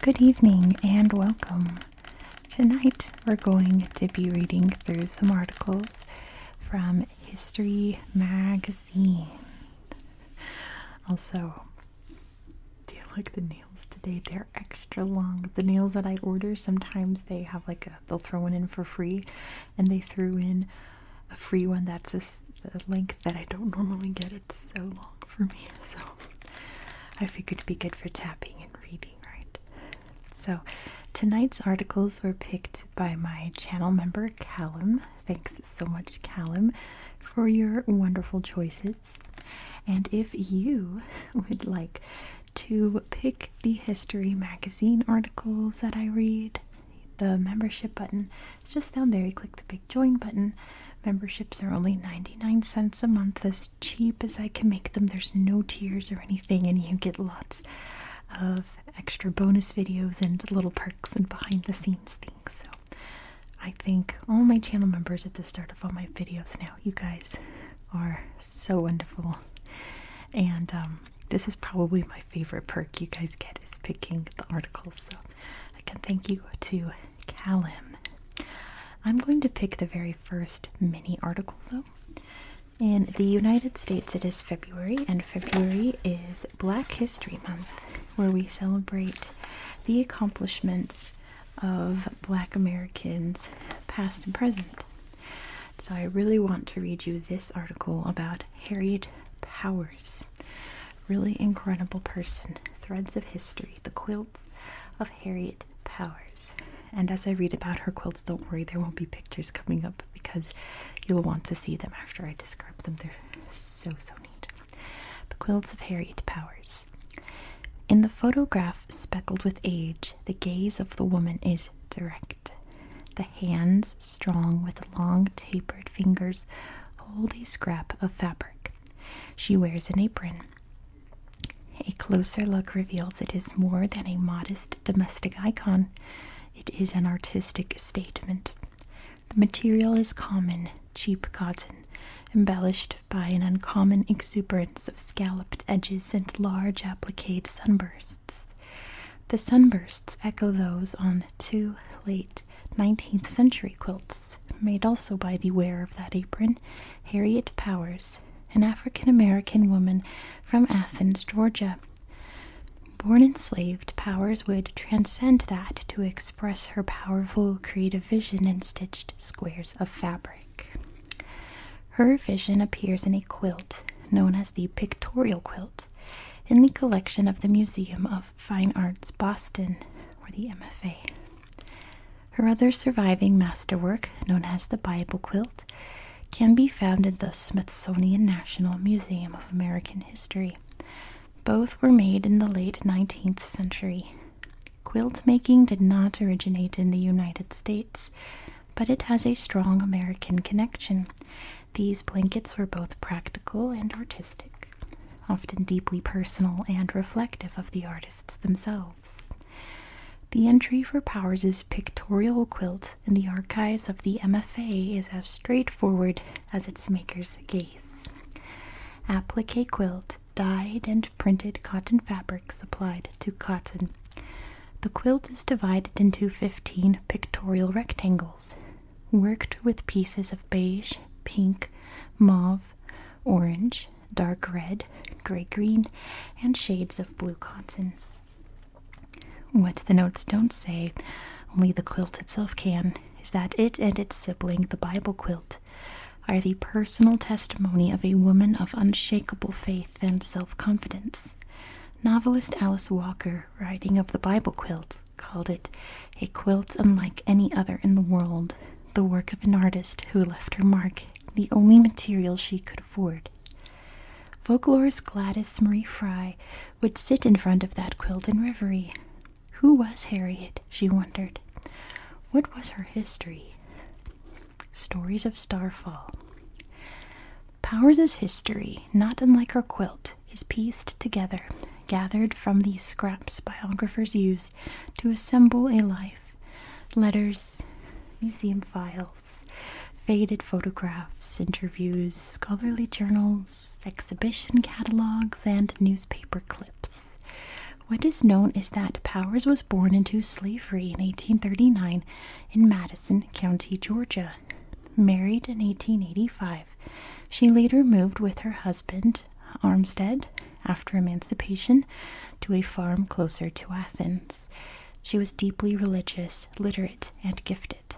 Good evening and welcome. Tonight we're going to be reading through some articles from History magazine. Also, do you like the nails today? They're extra long. The nails that I order, sometimes they have like a, they'll throw one in for free, and they threw in a free one that's a, a length that I don't normally get. It's so long for me. So I figured it'd be good for tapping and reading, right? So tonight's articles were picked by my channel member Callum. Thanks so much, Callum, for your wonderful choices. And if you would like to pick the history magazine articles that I read, the membership button is just down there. You click the big join button. Memberships are only 99 cents a month, as cheap as I can make them. There's no tiers or anything, and you get lots of extra bonus videos and little perks and behind the scenes things. So I thank all my channel members at the start of all my videos now. You guys are so wonderful. And um, this is probably my favorite perk you guys get is picking the articles. So I can thank you to Callum. I'm going to pick the very first mini article though. In the United States, it is February, and February is Black History Month, where we celebrate the accomplishments of Black Americans, past and present. So, I really want to read you this article about Harriet Powers. Really incredible person. Threads of History, the quilts of Harriet Powers. And as I read about her quilts, don't worry, there won't be pictures coming up because you'll want to see them after I describe them. They're so, so neat. The Quilts of Harriet Powers. In the photograph speckled with age, the gaze of the woman is direct. The hands, strong with long tapered fingers, hold a scrap of fabric. She wears an apron. A closer look reveals it is more than a modest domestic icon, it is an artistic statement. The material is common, cheap cotton, embellished by an uncommon exuberance of scalloped edges and large appliqued sunbursts. The sunbursts echo those on two late 19th century quilts, made also by the wearer of that apron, Harriet Powers, an African American woman from Athens, Georgia. Born enslaved, Powers would transcend that to express her powerful creative vision in stitched squares of fabric. Her vision appears in a quilt known as the Pictorial Quilt in the collection of the Museum of Fine Arts Boston, or the MFA. Her other surviving masterwork, known as the Bible Quilt, can be found in the Smithsonian National Museum of American History. Both were made in the late 19th century. Quilt making did not originate in the United States, but it has a strong American connection. These blankets were both practical and artistic, often deeply personal and reflective of the artists themselves. The entry for Powers's pictorial quilt in the archives of the MFA is as straightforward as its maker's gaze. Applique quilt, dyed and printed cotton fabrics applied to cotton. The quilt is divided into 15 pictorial rectangles, worked with pieces of beige, pink, mauve, orange, dark red, gray green, and shades of blue cotton. What the notes don't say, only the quilt itself can, is that it and its sibling, the Bible quilt, are the personal testimony of a woman of unshakable faith and self confidence. Novelist Alice Walker, writing of the Bible quilt, called it a quilt unlike any other in the world, the work of an artist who left her mark, the only material she could Ford. Folklorist Gladys Marie Fry would sit in front of that quilt in reverie. Who was Harriet? she wondered. What was her history? Stories of Starfall. Powers' history, not unlike her quilt, is pieced together, gathered from these scraps biographers use to assemble a life. Letters, museum files faded photographs, interviews, scholarly journals, exhibition catalogs, and newspaper clips. What is known is that Powers was born into slavery in 1839 in Madison County, Georgia. Married in 1885, she later moved with her husband, Armstead, after emancipation, to a farm closer to Athens. She was deeply religious, literate, and gifted.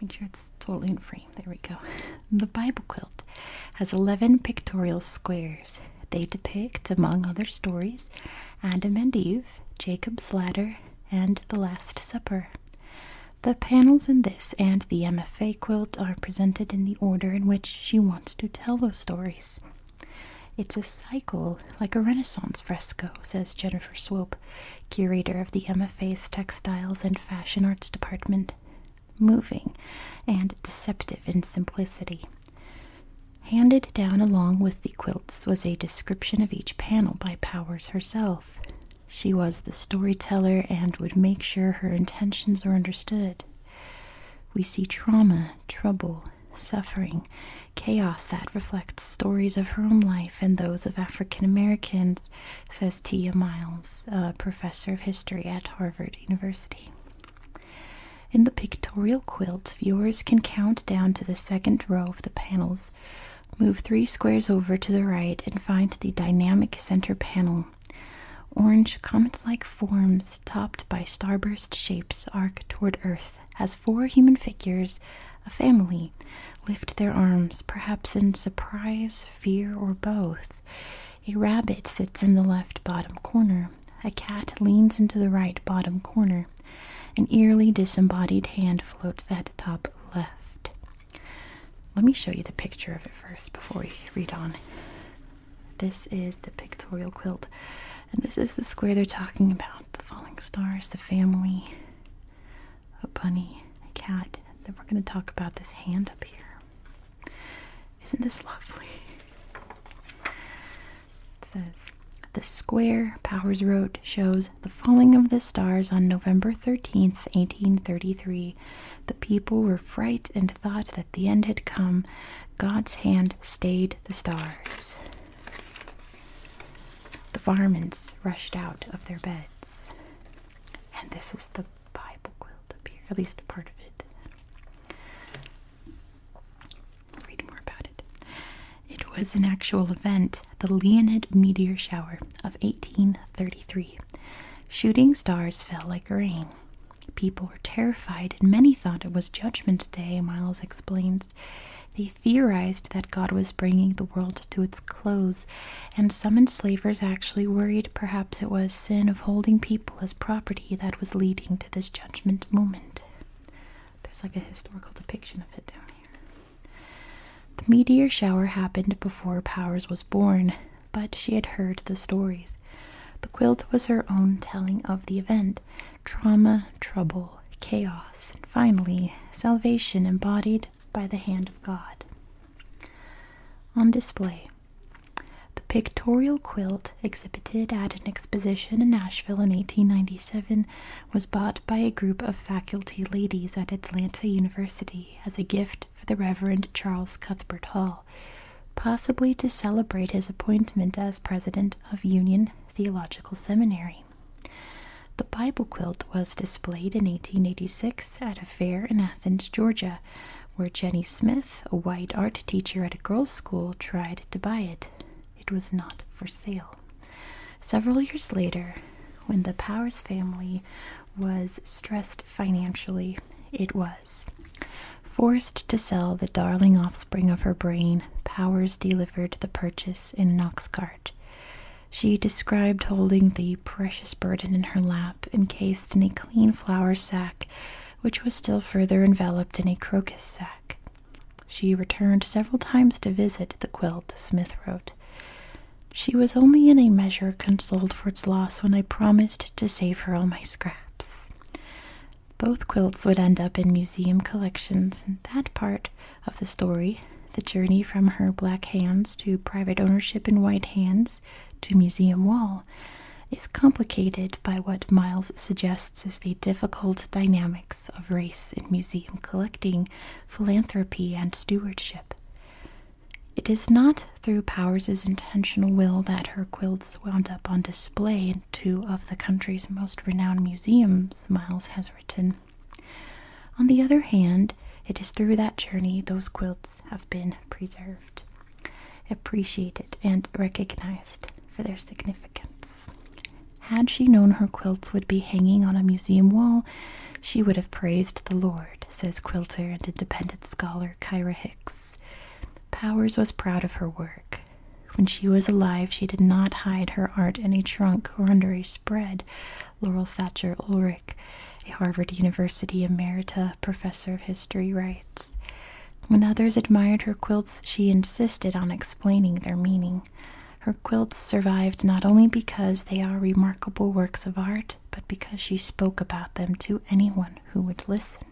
Make sure it's totally in frame. There we go. The Bible quilt has 11 pictorial squares. They depict, among other stories, Adam and Eve, Jacob's Ladder, and the Last Supper. The panels in this and the MFA quilt are presented in the order in which she wants to tell those stories. It's a cycle like a Renaissance fresco, says Jennifer Swope, curator of the MFA's Textiles and Fashion Arts Department. Moving and deceptive in simplicity. Handed down along with the quilts was a description of each panel by Powers herself. She was the storyteller and would make sure her intentions were understood. We see trauma, trouble, suffering, chaos that reflects stories of her own life and those of African Americans, says Tia Miles, a professor of history at Harvard University. In the pictorial quilt, viewers can count down to the second row of the panels, move three squares over to the right, and find the dynamic center panel. Orange comet like forms topped by starburst shapes arc toward Earth as four human figures, a family, lift their arms, perhaps in surprise, fear, or both. A rabbit sits in the left bottom corner. A cat leans into the right bottom corner. An eerily disembodied hand floats at top left. Let me show you the picture of it first before we read on. This is the pictorial quilt. And this is the square they're talking about the falling stars, the family, a bunny, a cat. Then we're going to talk about this hand up here. Isn't this lovely? It says, The square, Powers wrote, shows the falling of the stars on November 13th, 1833. The people were fright and thought that the end had come. God's hand stayed the stars. The varmints rushed out of their beds. And this is the Bible quilt up here, at least part of it. read more about it. It was an actual event, the Leonid meteor shower of 1833. Shooting stars fell like rain. People were terrified, and many thought it was Judgment Day, Miles explains. They theorized that God was bringing the world to its close, and some enslavers actually worried perhaps it was sin of holding people as property that was leading to this judgment moment. There's like a historical depiction of it down here. The meteor shower happened before Powers was born, but she had heard the stories. The quilt was her own telling of the event, trauma, trouble, chaos, and finally, salvation embodied by the hand of God. On display, the pictorial quilt exhibited at an exposition in Nashville in 1897 was bought by a group of faculty ladies at Atlanta University as a gift for the Reverend Charles Cuthbert Hall, possibly to celebrate his appointment as president of Union Theological Seminary. The Bible quilt was displayed in 1886 at a fair in Athens, Georgia, where Jenny Smith, a white art teacher at a girls' school, tried to buy it. It was not for sale. Several years later, when the Powers family was stressed financially, it was forced to sell the darling offspring of her brain Powers delivered the purchase in an ox cart. She described holding the precious burden in her lap, encased in a clean flour sack, which was still further enveloped in a crocus sack. She returned several times to visit the quilt, Smith wrote. She was only in a measure consoled for its loss when I promised to save her all my scraps. Both quilts would end up in museum collections, and that part of the story, the journey from her black hands to private ownership in white hands to museum wall, is complicated by what Miles suggests is the difficult dynamics of race in museum collecting, philanthropy, and stewardship. It is not through Powers's intentional will that her quilts wound up on display in two of the country's most renowned museums, Miles has written. On the other hand, it is through that journey those quilts have been preserved, appreciated, and recognized for their significance. Had she known her quilts would be hanging on a museum wall, she would have praised the Lord, says quilter and independent scholar Kyra Hicks. Powers was proud of her work, when she was alive, she did not hide her art in a trunk or under a spread. Laurel Thatcher Ulrich, a Harvard University emerita professor of history, writes When others admired her quilts, she insisted on explaining their meaning. Her quilts survived not only because they are remarkable works of art, but because she spoke about them to anyone who would listen.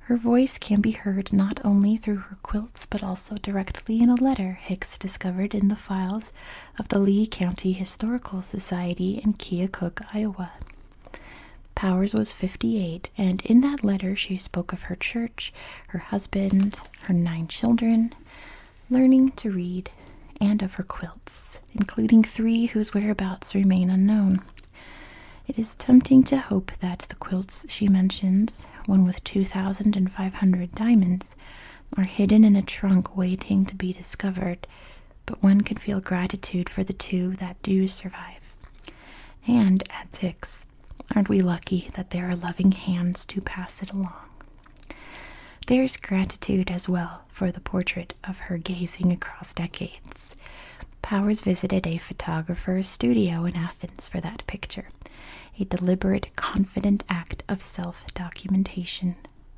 Her voice can be heard not only through her quilts but also directly in a letter Hicks discovered in the files of the Lee County Historical Society in Keokuk, Iowa. Powers was 58, and in that letter she spoke of her church, her husband, her nine children, learning to read, and of her quilts, including three whose whereabouts remain unknown. It is tempting to hope that the quilts she mentions, one with 2,500 diamonds, are hidden in a trunk waiting to be discovered, but one can feel gratitude for the two that do survive. And at six, aren't we lucky that there are loving hands to pass it along? There's gratitude as well for the portrait of her gazing across decades. Powers visited a photographer's studio in Athens for that picture, a deliberate, confident act of self documentation.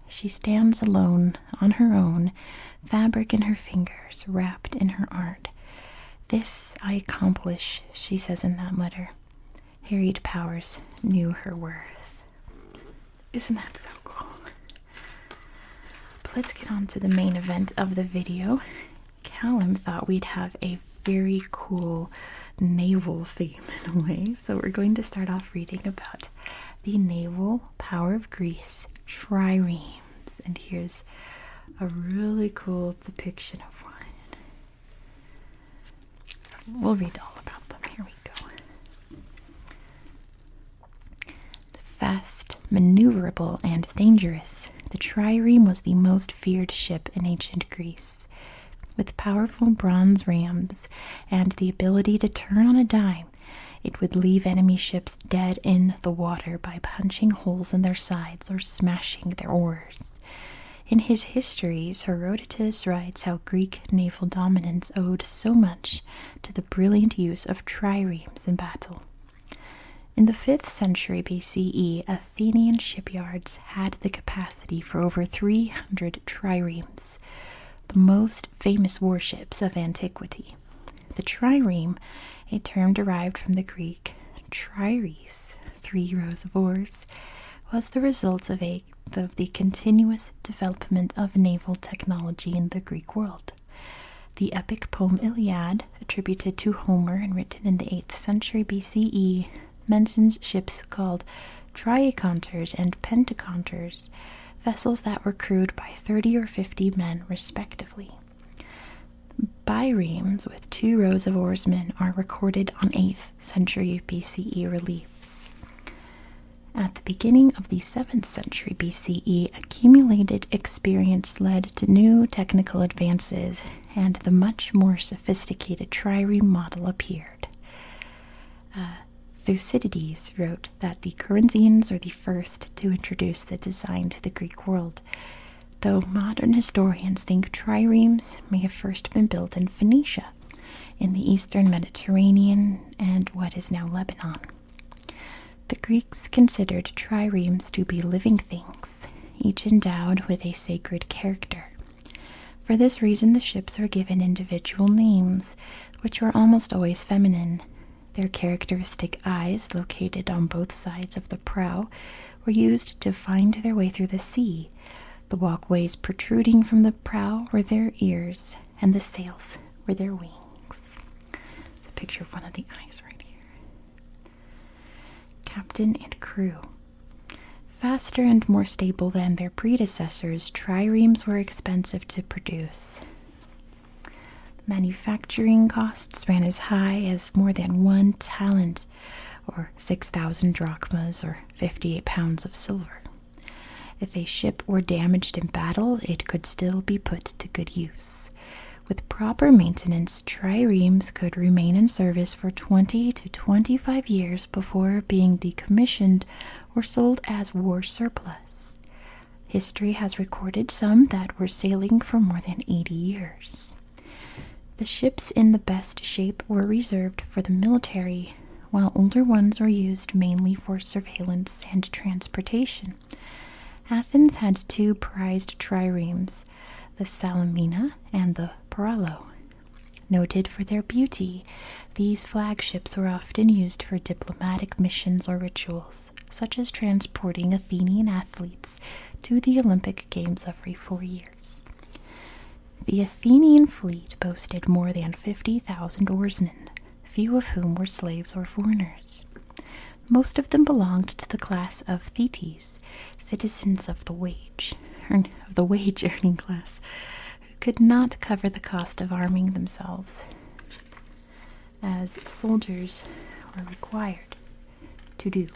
She stands alone, on her own, fabric in her fingers, wrapped in her art. This I accomplish, she says in that letter. Harriet Powers knew her worth. Isn't that so cool? But let's get on to the main event of the video Callum thought we'd have a very cool naval theme in a way. So we're going to start off reading about the naval power of Greece triremes. And here's a really cool depiction of one. We'll read all about them. Here we go. Fast, maneuverable, and dangerous, the trireme was the most feared ship in ancient Greece. With powerful bronze rams and the ability to turn on a dime, it would leave enemy ships dead in the water by punching holes in their sides or smashing their oars. In his histories, Herodotus writes how Greek naval dominance owed so much to the brilliant use of triremes in battle. In the 5th century BCE, Athenian shipyards had the capacity for over 300 triremes, the most famous warships of antiquity. The trireme, a term derived from the Greek trires, (three rows of oars, was the result of, a, of the continuous development of naval technology in the Greek world. The epic poem Iliad, attributed to Homer and written in the 8th century BCE, mentions ships called triaconters and pentaconters, vessels that were crewed by 30 or 50 men respectively. Biremes with two rows of oarsmen are recorded on 8th century BCE reliefs. At the beginning of the 7th century BCE, accumulated experience led to new technical advances, and the much more sophisticated trireme model appeared. Uh, Thucydides wrote that the Corinthians were the first to introduce the design to the Greek world, though modern historians think triremes may have first been built in Phoenicia, in the eastern Mediterranean, and what is now Lebanon. The Greeks considered triremes to be living things, each endowed with a sacred character. For this reason, the ships were given individual names, which were almost always feminine. Their characteristic eyes, located on both sides of the prow, were used to find their way through the sea. The walkways protruding from the prow were their ears, and the sails were their wings. It's a picture of one of the eyes right here. Captain and crew. Faster and more stable than their predecessors, triremes were expensive to produce. Manufacturing costs ran as high as more than one talent, or 6,000 drachmas, or 58 pounds of silver. If a ship were damaged in battle, it could still be put to good use. With proper maintenance, triremes could remain in service for 20 to 25 years before being decommissioned or sold as war surplus. History has recorded some that were sailing for more than 80 years. The ships in the best shape were reserved for the military, while older ones were used mainly for surveillance and transportation. Athens had two prized triremes, the Salamina and the Paralo. Noted for their beauty, these flagships were often used for diplomatic missions or rituals, such as transporting Athenian athletes to the Olympic Games every four years. The Athenian fleet boasted more than 50,000 oarsmen, few of whom were slaves or foreigners. Most of them belonged to the class of Thetes, citizens of the wage, of the wage earning class, who could not cover the cost of arming themselves, as soldiers were required to do.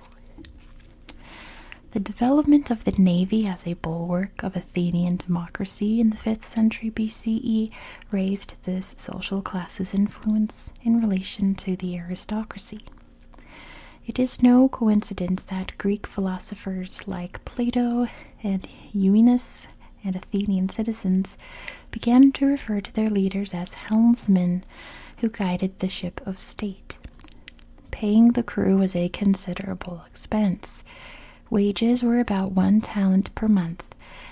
The development of the navy as a bulwark of Athenian democracy in the 5th century BCE raised this social class's influence in relation to the aristocracy. It is no coincidence that Greek philosophers like Plato and Euenus and Athenian citizens began to refer to their leaders as helmsmen who guided the ship of state. Paying the crew was a considerable expense. Wages were about one talent per month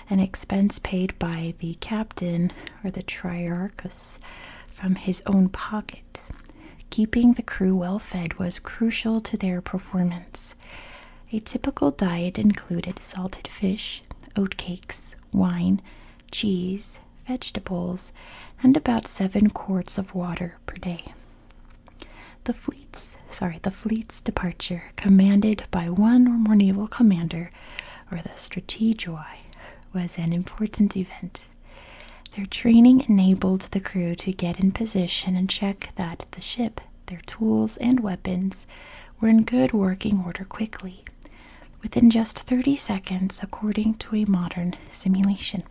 an expense paid by the captain or the triarchus from his own pocket. Keeping the crew well fed was crucial to their performance. A typical diet included salted fish, oatcakes, wine, cheese, vegetables, and about seven quarts of water per day. The fleet's sorry, the fleet's departure, commanded by one or more naval commander, or the strategoi, was an important event. Their training enabled the crew to get in position and check that the ship, their tools, and weapons were in good working order quickly, within just 30 seconds, according to a modern simulation.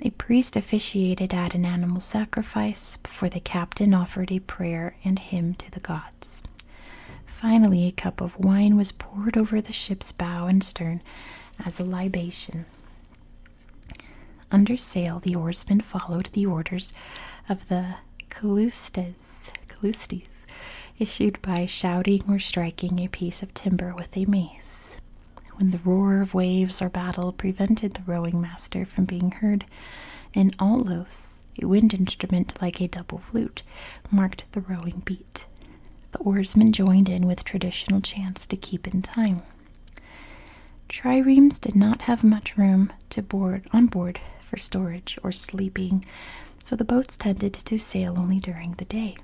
A priest officiated at an animal sacrifice before the captain offered a prayer and hymn to the gods. Finally, a cup of wine was poured over the ship's bow and stern as a libation. Under sail, the oarsmen followed the orders of the Callustes, Callustes issued by shouting or striking a piece of timber with a mace. When the roar of waves or battle prevented the rowing master from being heard, an aulos a wind instrument like a double flute, marked the rowing beat. The oarsmen joined in with traditional chants to keep in time. Triremes did not have much room to board on board for storage or sleeping, so the boats tended to sail only during the day.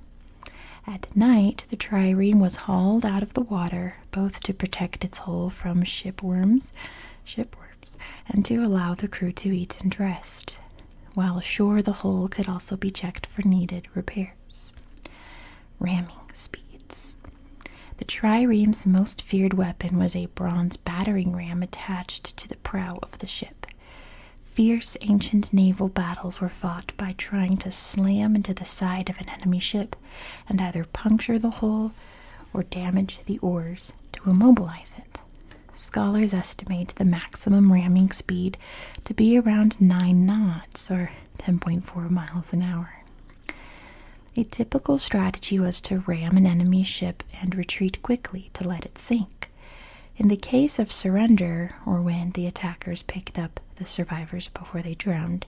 At night, the trireme was hauled out of the water, both to protect its hull from shipworms, ship and to allow the crew to eat and rest, while ashore the hull could also be checked for needed repairs. Ramming speeds. The triremes' most feared weapon was a bronze battering ram attached to the prow of the ship. Fierce ancient naval battles were fought by trying to slam into the side of an enemy ship and either puncture the hull or damage the oars to immobilize it. Scholars estimate the maximum ramming speed to be around 9 knots or 10.4 miles an hour. A typical strategy was to ram an enemy ship and retreat quickly to let it sink. In the case of surrender, or when the attackers picked up the survivors before they drowned,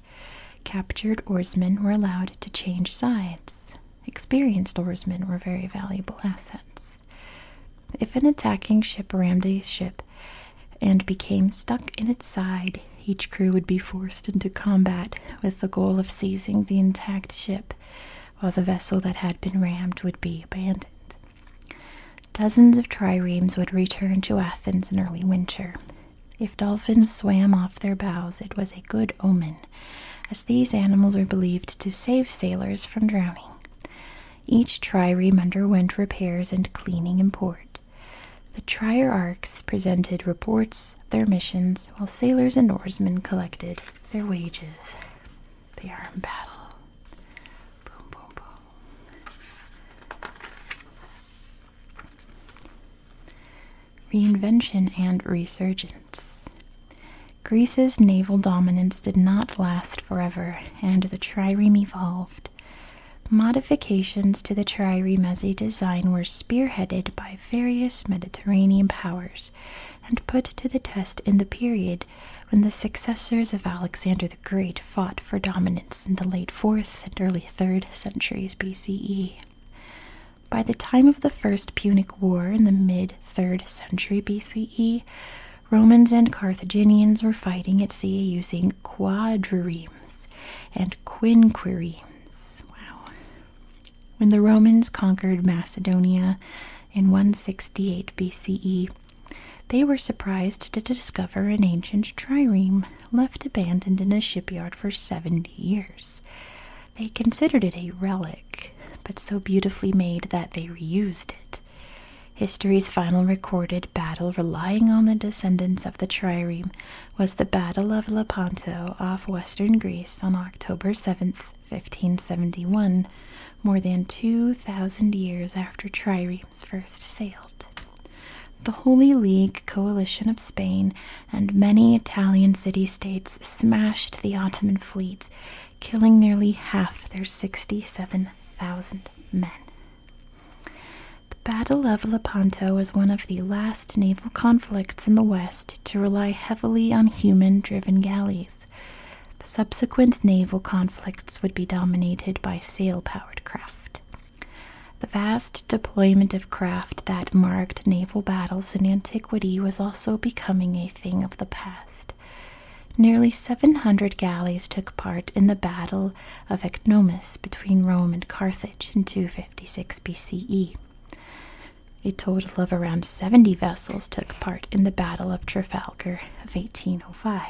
captured oarsmen were allowed to change sides. Experienced oarsmen were very valuable assets. If an attacking ship rammed a ship and became stuck in its side, each crew would be forced into combat with the goal of seizing the intact ship, while the vessel that had been rammed would be abandoned. Dozens of triremes would return to Athens in early winter. If dolphins swam off their bows, it was a good omen as these animals are believed to save sailors from drowning. Each trireme underwent repairs and cleaning in port. The trierarchs presented reports of their missions, while sailors and oarsmen collected their wages. They are in battle. Boom, boom, boom. Reinvention and Resurgence. Greece's naval dominance did not last forever, and the trireme evolved. Modifications to the triremes' design were spearheaded by various Mediterranean powers and put to the test in the period when the successors of Alexander the Great fought for dominance in the late 4th and early 3rd centuries BCE. By the time of the First Punic War in the mid 3rd century BCE, Romans and Carthaginians were fighting at sea using quadriremes and quinqueremes. Wow. When the Romans conquered Macedonia in 168 BCE, they were surprised to discover an ancient trireme left abandoned in a shipyard for 70 years. They considered it a relic, but so beautifully made that they reused it. History's final recorded battle relying on the descendants of the trireme was the Battle of Lepanto off western Greece on October 7, 1571, more than 2,000 years after triremes first sailed. The Holy League coalition of Spain and many Italian city states smashed the Ottoman fleet, killing nearly half their 67,000 men. The Battle of Lepanto was one of the last naval conflicts in the West to rely heavily on human driven galleys. The subsequent naval conflicts would be dominated by sail powered craft. The vast deployment of craft that marked naval battles in antiquity was also becoming a thing of the past. Nearly 700 galleys took part in the Battle of Ecnomus between Rome and Carthage in 256 BCE. A total of around 70 vessels took part in the Battle of Trafalgar of 1805.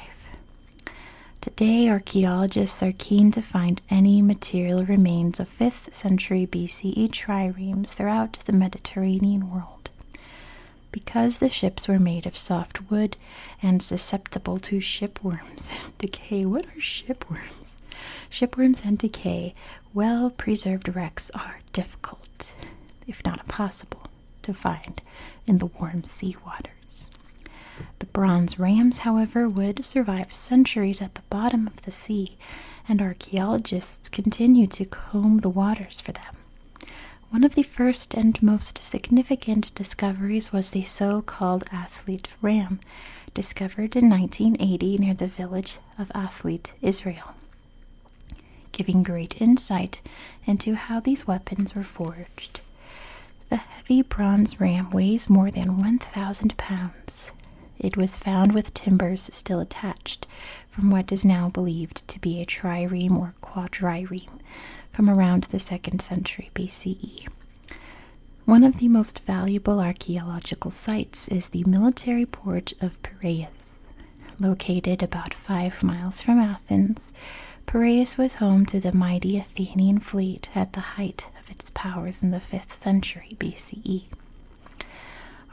Today, archaeologists are keen to find any material remains 5th century BCE triremes throughout the Mediterranean world. Because the ships were made of soft wood and susceptible to shipworms and decay, what are shipworms? Shipworms and decay, well preserved wrecks are difficult, if not impossible, to find in the warm sea waters. The bronze rams, however, would survive centuries at the bottom of the sea, and archaeologists continue to comb the waters for them. One of the first and most significant discoveries was the so called Athlete Ram, discovered in 1980 near the village of Athlit, Israel, giving great insight into how these weapons were forged. The heavy bronze ram weighs more than 1,000 pounds. It was found with timbers still attached from what is now believed to be a trireme or quadrireme from around the 2nd century BCE. One of the most valuable archaeological sites is the military port of Piraeus. Located about five miles from Athens, Piraeus was home to the mighty Athenian fleet at the height of its powers in the 5th century BCE.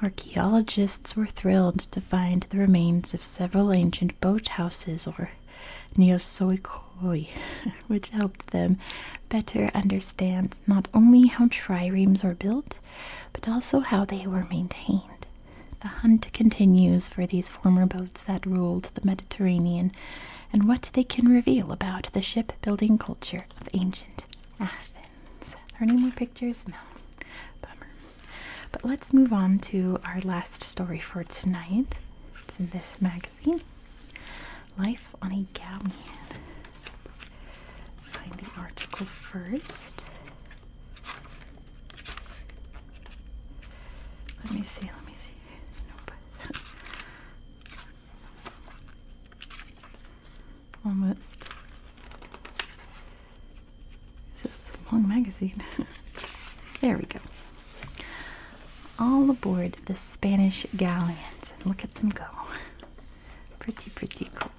Archaeologists were thrilled to find the remains of several ancient boat houses or neosoikoi, which helped them better understand not only how triremes were built, but also how they were maintained. The hunt continues for these former boats that ruled the Mediterranean and what they can reveal about the shipbuilding culture of ancient Athens. Are there any more pictures? No. Bummer. But let's move on to our last story for tonight. It's in this magazine Life on a Galleon. Let's find the article first. Let me see, let me see. Nope. almost. This a long magazine. there we go. All aboard the Spanish galleons. And look at them go. Pretty, pretty cool.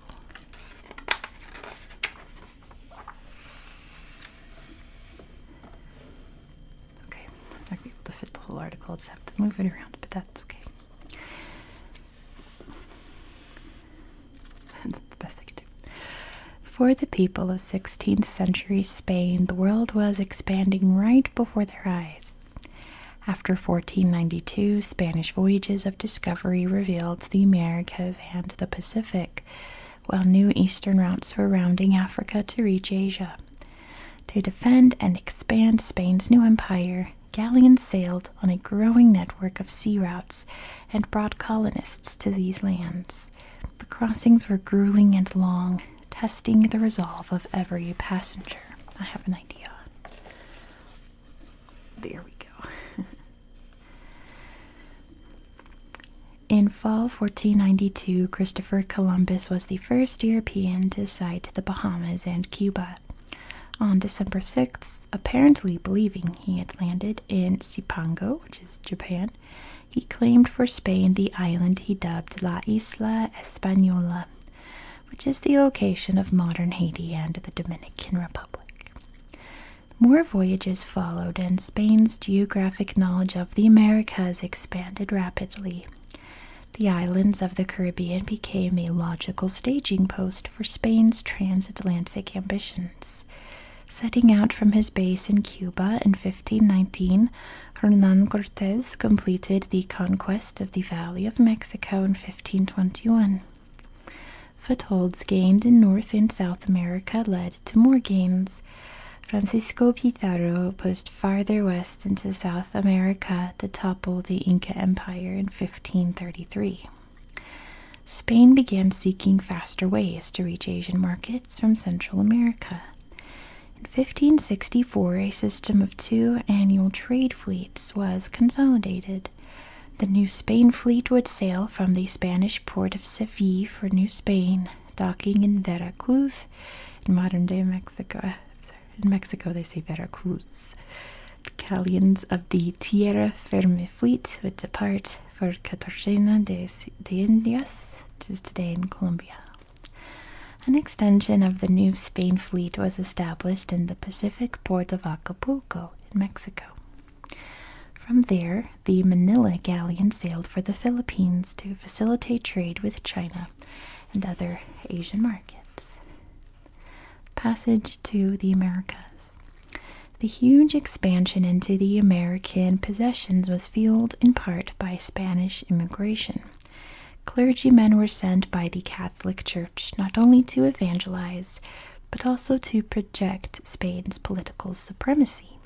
Okay, not going to be able to fit the whole article. just have to move it around, but that's okay. For the people of 16th century Spain, the world was expanding right before their eyes. After 1492, Spanish voyages of discovery revealed the Americas and the Pacific, while new eastern routes were rounding Africa to reach Asia. To defend and expand Spain's new empire, galleons sailed on a growing network of sea routes and brought colonists to these lands. The crossings were grueling and long, testing the resolve of every passenger. I have an idea. There we go. In fall 1492, Christopher Columbus was the first European to sight the Bahamas and Cuba on December 6th, apparently believing he had landed in Cipango, which is Japan. He claimed for Spain the island he dubbed La Isla Española, which is the location of modern Haiti and the Dominican Republic. More voyages followed, and Spain's geographic knowledge of the Americas expanded rapidly the islands of the Caribbean became a logical staging post for Spain's transatlantic ambitions. Setting out from his base in Cuba in 1519, Hernan Cortes completed the conquest of the Valley of Mexico in 1521. Footholds gained in North and South America led to more gains. Francisco Pizarro farther west into South America to topple the Inca Empire in 1533. Spain began seeking faster ways to reach Asian markets from Central America. In 1564, a system of two annual trade fleets was consolidated. The New Spain fleet would sail from the Spanish port of Seville for New Spain, docking in Veracruz in modern day Mexico. In Mexico, they say Veracruz. The galleons of the Tierra Firme fleet would depart for Cartagena de, de Indias, which is today in Colombia. An extension of the New Spain fleet was established in the Pacific port of Acapulco in Mexico. From there, the Manila galleon sailed for the Philippines to facilitate trade with China and other Asian markets markets. Passage to the Americas. The huge expansion into the American possessions was fueled in part by Spanish immigration. Clergymen were sent by the Catholic Church not only to evangelize, but also to project Spain's political supremacy.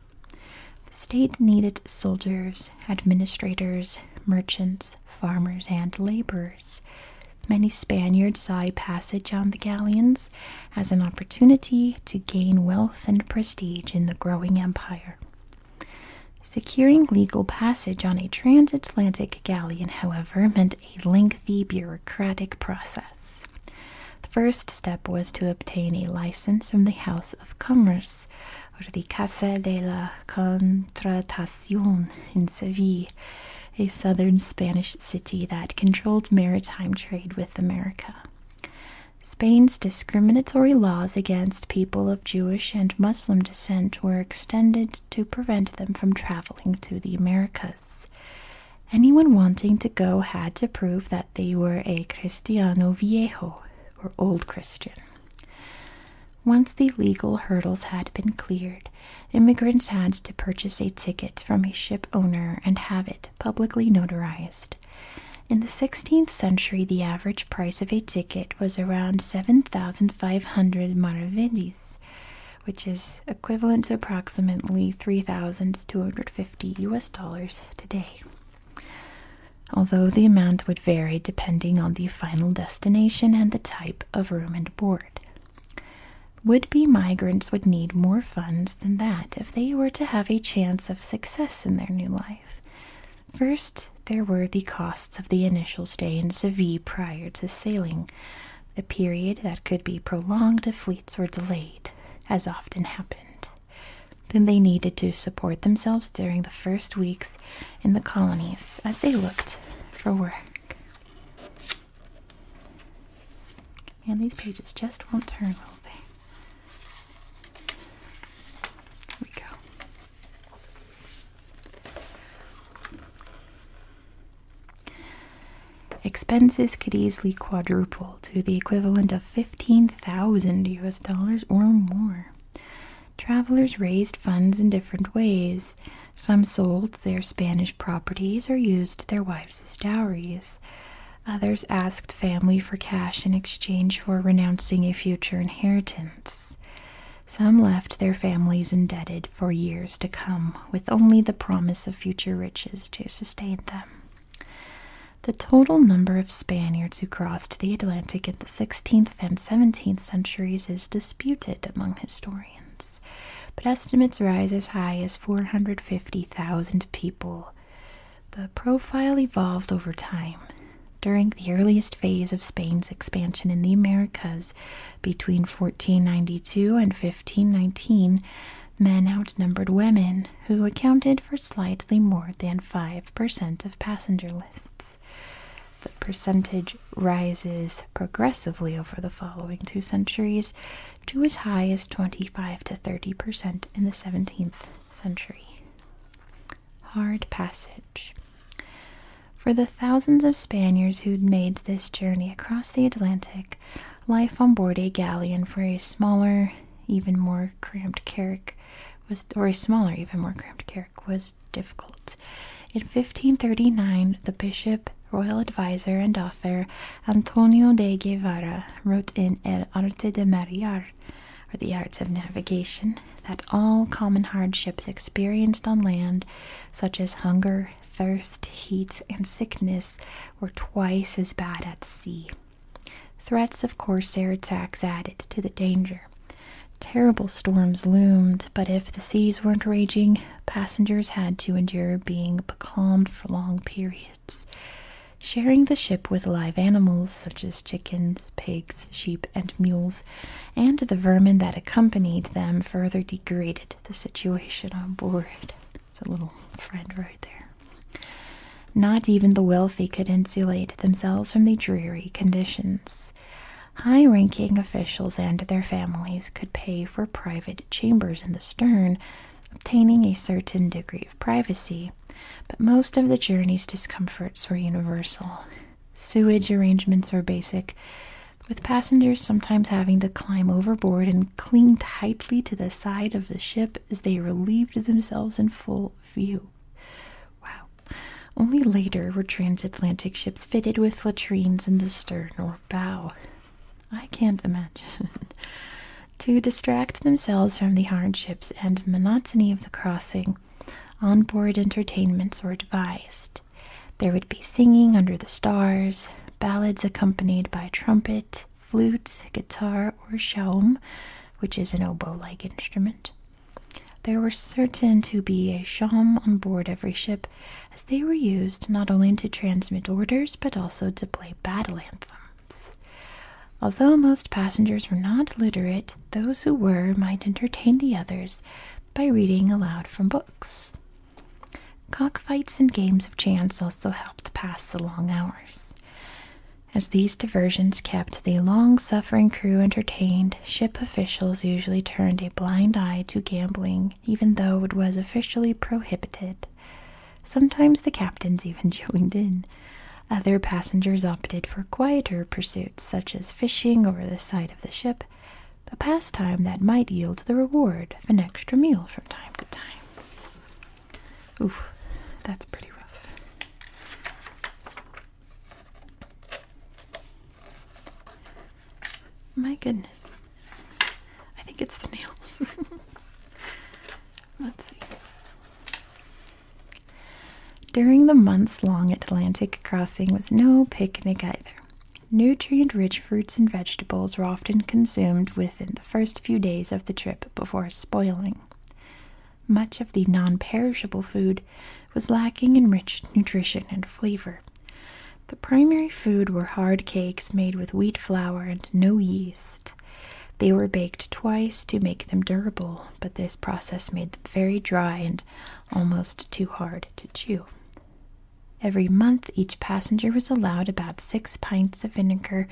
The state needed soldiers, administrators, merchants, farmers, and laborers. Many Spaniards saw passage on the galleons as an opportunity to gain wealth and prestige in the growing empire. Securing legal passage on a transatlantic galleon, however, meant a lengthy bureaucratic process. The first step was to obtain a license from the House of Commerce, or the Café de la Contratación in Seville, a southern Spanish city that controlled maritime trade with America. Spain's discriminatory laws against people of Jewish and Muslim descent were extended to prevent them from traveling to the Americas. Anyone wanting to go had to prove that they were a Cristiano Viejo, or Old Christian. Once the legal hurdles had been cleared, immigrants had to purchase a ticket from a ship owner and have it publicly notarized. In the 16th century, the average price of a ticket was around 7,500 maravedis, which is equivalent to approximately 3,250 US dollars today. Although the amount would vary depending on the final destination and the type of room and board. Would be migrants would need more funds than that if they were to have a chance of success in their new life. First, there were the costs of the initial stay in Seville prior to sailing, a period that could be prolonged if fleets were delayed, as often happened. Then they needed to support themselves during the first weeks in the colonies as they looked for work. And these pages just won't turn, will we go. Expenses could easily quadruple to the equivalent of 15,000 US dollars or more. Travelers raised funds in different ways. Some sold their Spanish properties or used their wives dowries. Others asked family for cash in exchange for renouncing a future inheritance. Some left their families indebted for years to come, with only the promise of future riches to sustain them. The total number of Spaniards who crossed the Atlantic in the 16th and 17th centuries is disputed among historians, but estimates rise as high as 450,000 people. The profile evolved over time. During the earliest phase of Spain's expansion in the Americas, between 1492 and 1519, men outnumbered women, who accounted for slightly more than 5% of passenger lists. The percentage rises progressively over the following two centuries to as high as 25 to 30 percent in the 17th century. Hard passage. For the thousands of Spaniards who'd made this journey across the Atlantic, life on board a galleon for a smaller, even more cramped carrick was or a smaller, even more cramped was difficult. In 1539, the bishop, royal adviser, and author Antonio de Guevara wrote in El Arte de Mariar, or the Arts of Navigation, that all common hardships experienced on land, such as hunger, thirst, heat, and sickness, were twice as bad at sea. Threats of corsair attacks added to the danger. Terrible storms loomed, but if the seas weren't raging, passengers had to endure being becalmed for long periods. Sharing the ship with live animals such as chickens, pigs, sheep, and mules, and the vermin that accompanied them further degraded the situation on board. It's a little friend right there. Not even the wealthy could insulate themselves from the dreary conditions. High ranking officials and their families could pay for private chambers in the stern, obtaining a certain degree of privacy, but most of the journey's discomforts were universal. Sewage arrangements were basic, with passengers sometimes having to climb overboard and cling tightly to the side of the ship as they relieved themselves in full view. Wow. Only later were transatlantic ships fitted with latrines in the stern or bow. I can't imagine. to distract themselves from the hardships and monotony of the crossing, on-board entertainments were devised. There would be singing under the stars, ballads accompanied by trumpet, flute, guitar, or shawm, which is an oboe like instrument, there were certain to be a sham on board every ship, as they were used not only to transmit orders but also to play battle anthems. Although most passengers were not literate, those who were might entertain the others by reading aloud from books. Cockfights and games of chance also helped pass the long hours. As these diversions kept the long suffering crew entertained, ship officials usually turned a blind eye to gambling, even though it was officially prohibited. Sometimes the captains even joined in. Other passengers opted for quieter pursuits, such as fishing over the side of the ship, a pastime that might yield the reward of an extra meal from time to time. Oof, that's pretty rough. My goodness. I think it's the nails. Let's see. During the months long Atlantic crossing was no picnic either. Nutrient rich fruits and vegetables were often consumed within the first few days of the trip before spoiling. Much of the non perishable food was lacking in rich nutrition and flavor. The primary food were hard cakes made with wheat flour and no yeast. They were baked twice to make them durable, but this process made them very dry and almost too hard to chew. Every month, each passenger was allowed about six pints of vinegar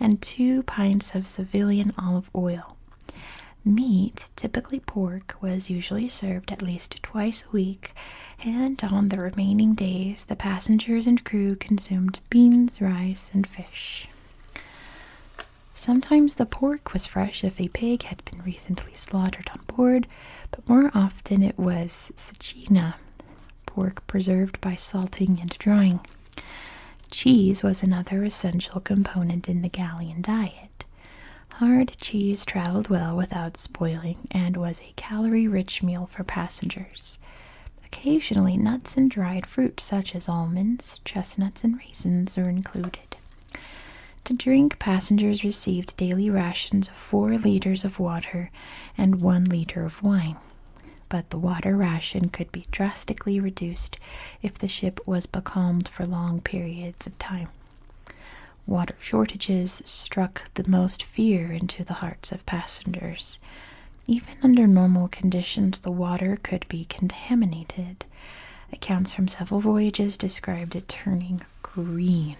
and two pints of Sevillian olive oil. Meat, typically pork, was usually served at least twice a week, and on the remaining days, the passengers and crew consumed beans, rice, and fish. Sometimes the pork was fresh if a pig had been recently slaughtered on board, but more often it was sachina, pork preserved by salting and drying. Cheese was another essential component in the Gallian diet. Hard cheese traveled well without spoiling and was a calorie rich meal for passengers. Occasionally, nuts and dried fruit such as almonds, chestnuts, and raisins were included. To drink, passengers received daily rations of 4 liters of water and 1 liter of wine, but the water ration could be drastically reduced if the ship was becalmed for long periods of time. Water shortages struck the most fear into the hearts of passengers. Even under normal conditions, the water could be contaminated. Accounts from several voyages described it turning green.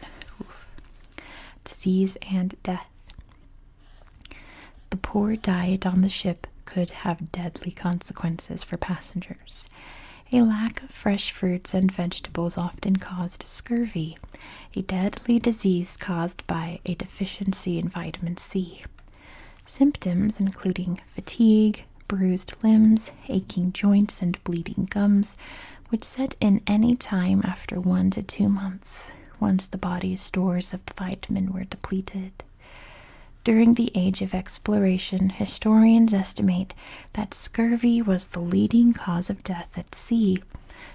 Disease and death. The poor diet on the ship could have deadly consequences for passengers. A lack of fresh fruits and vegetables often caused scurvy, a deadly disease caused by a deficiency in vitamin C. Symptoms including fatigue, bruised limbs, aching joints, and bleeding gums would set in any time after one to two months once the body's stores of vitamin were depleted. During the Age of Exploration, historians estimate that scurvy was the leading cause of death at sea,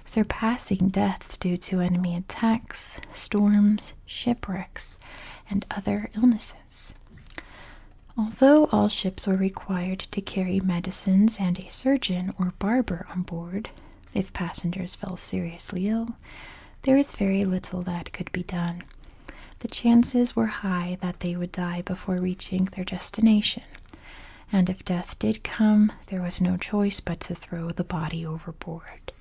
surpassing deaths due to enemy attacks, storms, shipwrecks, and other illnesses. Although all ships were required to carry medicines and a surgeon or barber on board, if passengers fell seriously ill, do, there is very little that could be done. The chances were high that they would die before reaching their destination, and if death did come, there was no choice but to throw the body overboard.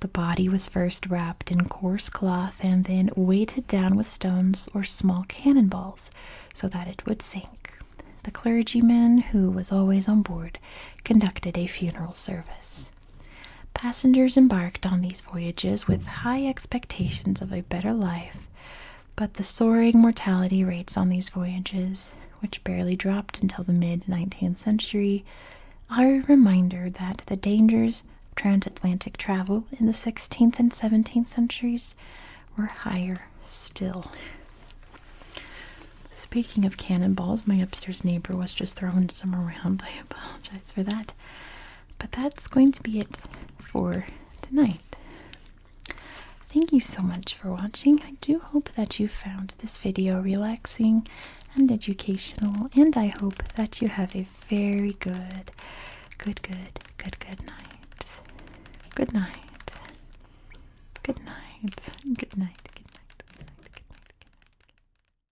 The body was first wrapped in coarse cloth and then weighted down with stones or small cannon balls, so that it would sink. The clergyman, who was always on board, conducted a funeral service. Passengers embarked on these voyages with high expectations of a better life, but the soaring mortality rates on these voyages, which barely dropped until the mid 19th century, are a reminder that the dangers of transatlantic travel in the 16th and 17th centuries were higher still. Speaking of cannonballs, my upstairs neighbor was just throwing some around. I apologize for that. But that's going to be it for tonight. Thank you so much for watching. I do hope that you found this video relaxing and educational, and I hope that you have a very good, good, good, good, Good night. Good night. Good night. Good night. Good night. Good night. Good night.